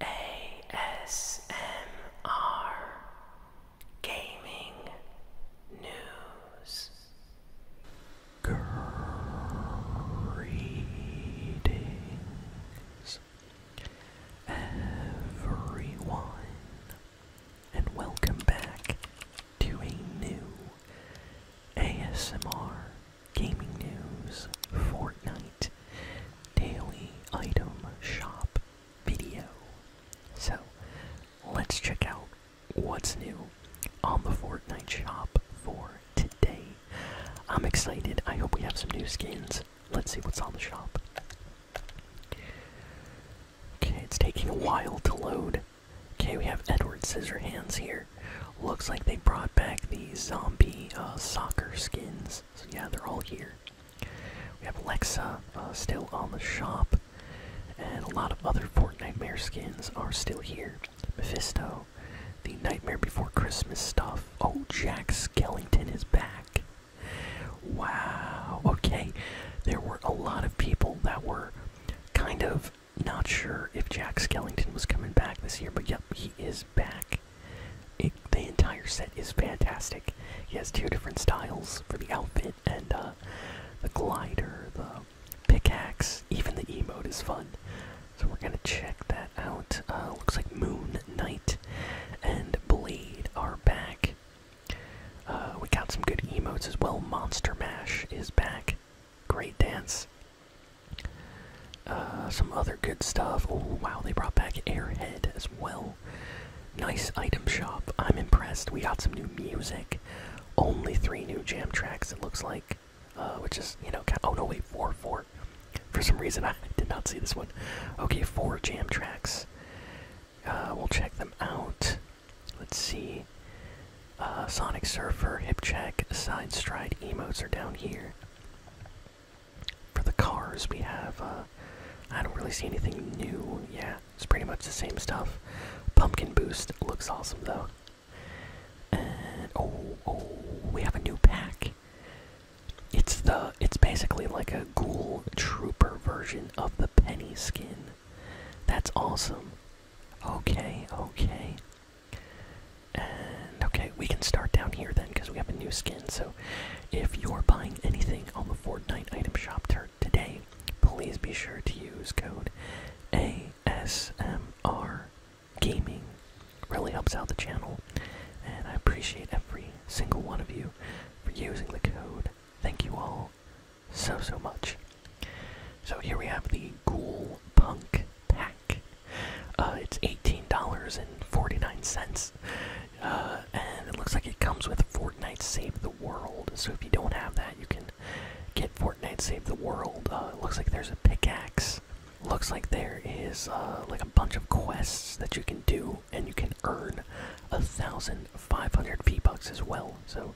ASMR Gaming News Greetings everyone and welcome back to a new ASMR gaming news, Fortnite, daily item shop video. So, let's check out what's new on the Fortnite shop for today. I'm excited. I hope we have some new skins. Let's see what's on the shop. Okay, it's taking a while to load. Okay, we have Edward Scissorhands here. Looks like they brought back the zombie uh, soccer skins. So yeah, they're all here. We have Alexa uh, still on the shop, and a lot of other Fortnite Nightmare skins are still here. Mephisto, the Nightmare Before Christmas stuff. Oh, Jack Skellington is back. Wow. Okay, there were a lot of people that were kind of not sure if Jack Skellington was coming back this year, but yep, he is back. the entire set is fantastic. He has two different styles for the outfit and uh, the glider, the pickaxe, even the emote is fun. So we're gonna check that out. Uh, looks like Moon Knight and Blade are back. Uh, we got some good emotes as well. Monster Mash is back. Great dance. Uh, some other good stuff. Oh wow, they brought back Airhead as well. Nice item shop. I'm impressed. We got some new music. Only three new jam tracks. It looks like, uh, which is you know. Kind oh no, wait, four, four. For some reason, I did not see this one. Okay, four jam tracks. Uh, we'll check them out. Let's see. Uh, Sonic Surfer, Hip Check, Side Stride emotes are down here. For the cars, we have. Uh, I don't really see anything new. Yeah, it's pretty much the same stuff. Pumpkin Boost looks awesome though. And oh, oh, we have a new pack. It's the. It's basically like a Ghoul Trooper version of the Penny skin. That's awesome. Okay, okay. And okay, we can start down here then because we have a new skin. So if you're buying anything on the Fortnite item shop today, please be sure to use code ASMR Gaming. Really helps out the channel. And I appreciate every single one of you for using the code. Thank you all so, so much. So here we have the Ghoul Punk Pack. Uh, it's $18.49, uh, and it looks like it comes with Fortnite Save the World. So if you don't have that, you can get Fortnite Save the World. Uh, it looks like there's a pickaxe. Looks like there is uh, like a bunch of quests that you can do, and you can earn a thousand 500 V bucks as well. So,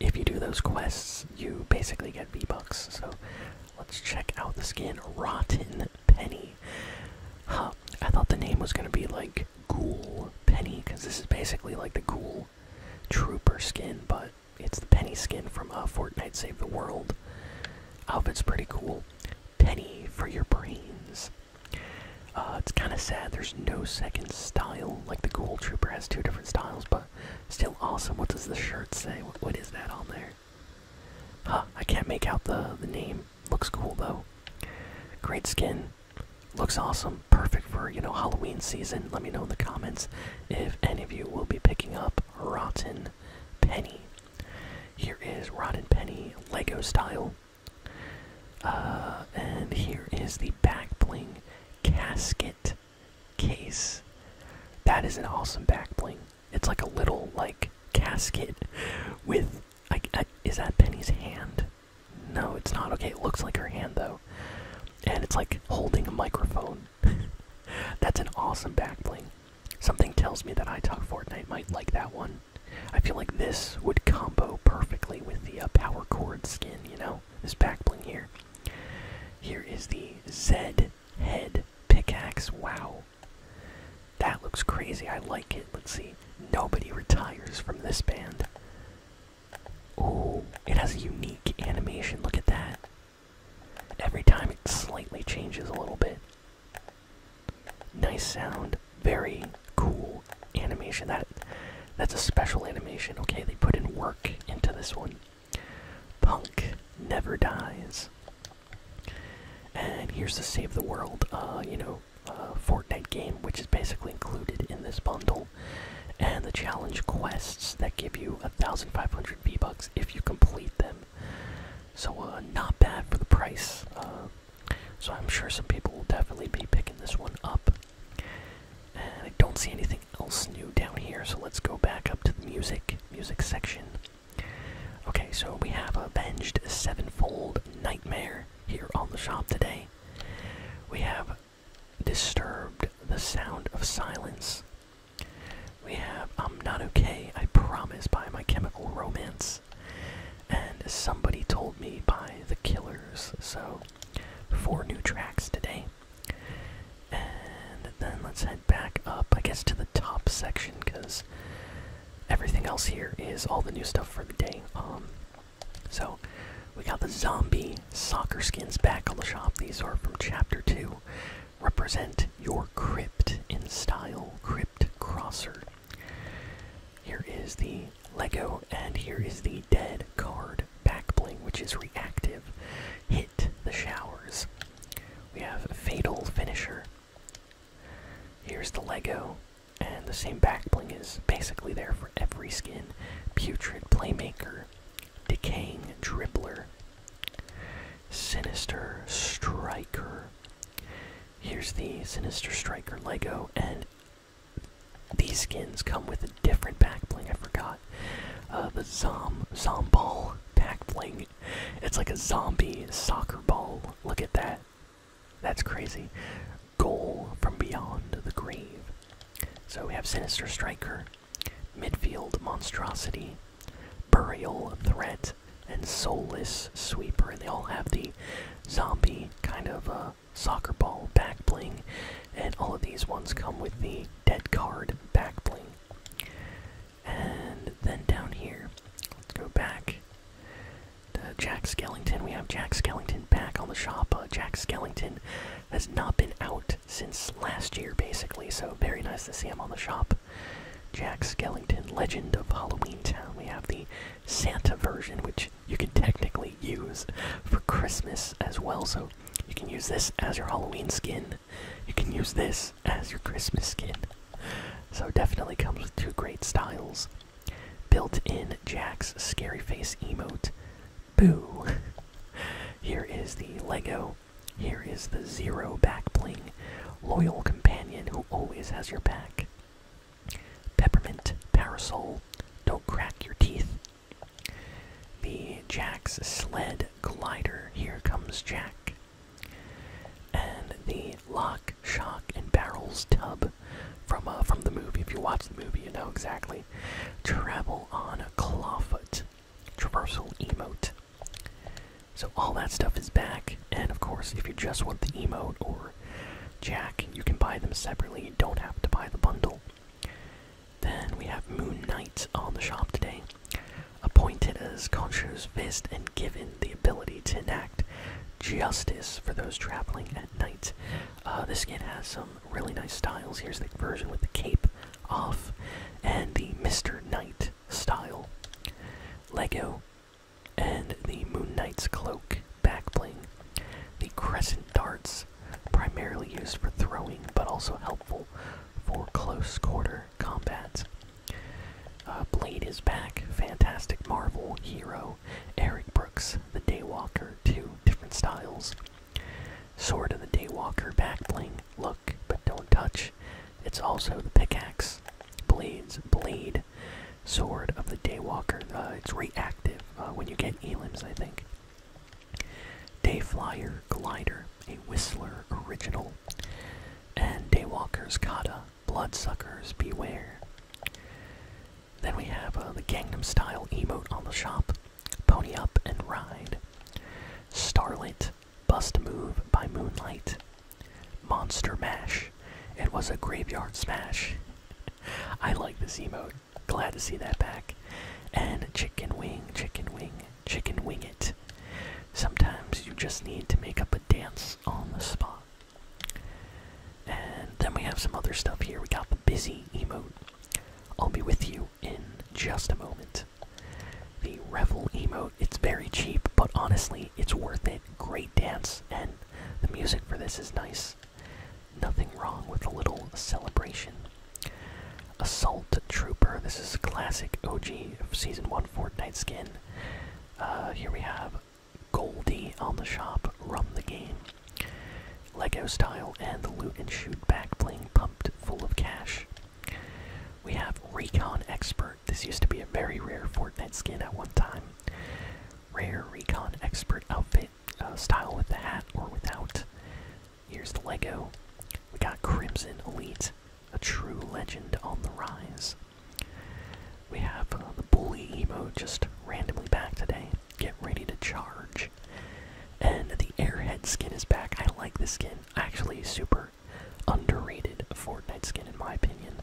if you do those quests, you basically get V bucks. So, let's check out the skin Rotten Penny. Huh, I thought the name was gonna be like Ghoul Penny because this is basically like the Ghoul Trooper skin, but it's the Penny skin from uh, Fortnite Save the World. Outfit's pretty cool. Penny for your brains. Uh, it's kind of sad. There's no second style. Like the Ghoul Trooper has two different styles, but still awesome. What does the shirt say? what is that on there? Huh, I can't make out the, the name. Looks cool though. Great skin. Looks awesome. Perfect for, you know, Halloween season. Let me know in the comments if any of you will be picking up Rotten Penny. Here is Rotten Penny Lego style. Uh, and here is the back bling casket case. That is an awesome back bling. It's like a little like casket with like is that Penny's hand? No, it's not. Okay, it looks like her hand though. And it's like holding a microphone. That's an awesome back bling. Something tells me that I talk Fortnite might like that one. I feel like this would combo perfectly with the uh, power cord skin you know? This back bling here. Here is the Z head pickaxe. Wow. That looks crazy. I like it. Let's see. Nobody retires from this band. Oh, it has a unique animation. Look at that. Every time it slightly changes a little bit. Nice sound very cool animation. That that's a special animation. Okay, they put in work into this one. Punk never dies. And here's the save the world, uh, you know, uh, Fortnite game, which is basically included in this bundle, and the challenge quests that give you 1,500 V bucks if you complete them. So, uh, not bad for the price. Uh, so I'm sure some people will definitely be picking this one up. And I don't see anything else new down here, so let's go back up to the music, music section. Okay, so we have Avenged Sevenfold Nightmare here on the shop today. We have Disturbed the Sound of Silence. We have I'm um, Not Okay, I Promise by My Chemical Romance. And somebody told me by the Killers, so four new tracks today. And then let's head back up, I guess, to the top section because everything else here is all the new stuff for the day. Um, so we got the zombie soccer skins back on the shop. These are from Chapter Two. Represent your crypt in style, crypt crosser. Here is the Lego, and here is the dead card back bling, which is reactive. Hit the showers. We have a Fatal Finisher. Here's the Lego, and the same back bling is basically there for every skin. Putrid Playmaker, Decaying Dribbler, Sinister Striker, Here's the Sinister Striker Lego, and these skins come with a different back bling. I forgot. Uh, the Zom Zomball back bling. It's like a zombie soccer ball. Look at that. That's crazy. Goal from beyond the grave. So we have Sinister Striker, Midfield Monstrosity, Burial Threat, and soulless sweeper, and they all have the zombie kind of uh, soccer ball back bling, and all of these ones come with the dead card back bling. And then down here, let's go back Jack Skellington. We have Jack Skellington back on the shop. Uh, Jack Skellington has not been out since last year, basically, so very nice to see him on the shop. Jack Skellington, Legend of Halloween Town. We have the Santa version, which you can technically use for Christmas as well. So you can use this as your Halloween skin. You can use this as your Christmas skin. So definitely comes with two great styles. Built-in Jack's scary face emote. Boo. Here is the Lego here is the Zero back bling, loyal companion who always has your back. Peppermint parasol, don't crack your teeth. The Jack's sled glider, here comes Jack. And the lock, shock, and barrels tub from uh, from the movie. If you watch the movie, you know exactly. Travel on clawfoot, traversal emote. So all that stuff is back, and of course, if you just want the emote or Jack, you can buy them separately. You don't have to buy the bundle. Then we have Moon Knight on the shop today, appointed as Khonshu's fist and given the ability to enact justice for those traveling at night. Uh, this skin has some really nice styles. Here's the version with the cape off and the Mr. Knight style. Lego and the Moon Knight's cloak backbling. The crescent darts, primarily used for throwing, but also helpful for close quarter combats. Uh, Blade is back, Fantastic Marvel, Hero, Eric Brooks, The Daywalker, two different styles. Sword of the Daywalker back bling, look but don't touch, it's also the pickaxe, blades, bleed, sword of the daywalker. Uh, it's reactive uh, when you get elims, I think. Dayflyer, glider, a whistler original, and daywalker's kata, bloodsuckers beware. Then we have uh, the Gangnam Style emote on the shop, pony up and ride, starlight. Bust Move by Moonlight, Monster Mash. It was a graveyard smash. I like the Z mode. Glad to see that back. And Chicken Wing, Chicken Wing, Chicken Wing It. Sometimes you just need to make up a dance on the spot. And then we have some other stuff here. We got the busy emote. I'll be with you in just a moment. The Revel emote. It's very cheap, but honestly, it's worth it. Great dance, and the music for this is nice. Nothing wrong with a little celebration. Assault Trooper. This is a classic OG of Season 1 Fortnite skin. Uh, here we have Goldie on the shop, Run the Game. Lego style and the loot and shoot back bling pumped full of cash. We have Recon Expert. This used to be a very rare Fortnite skin at one time. Rare Recon Expert outfit, uh, style with the hat or without. Here's the Lego. We got Crimson Elite, a true legend on the rise. We have uh, the bully Emo just randomly back today. Get ready to charge. And the airhead skin is back. I like this skin. Actually, super underrated Fortnite skin, in my opinion.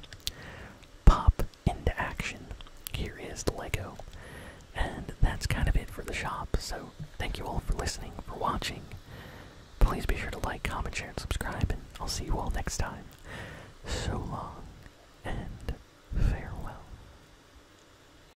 Pop into action. Here is the Lego. And that's kind of it for the shop. So, thank you all for listening, for watching. Please be sure to like, comment, share, and subscribe. And I'll see you all next time. So long and farewell.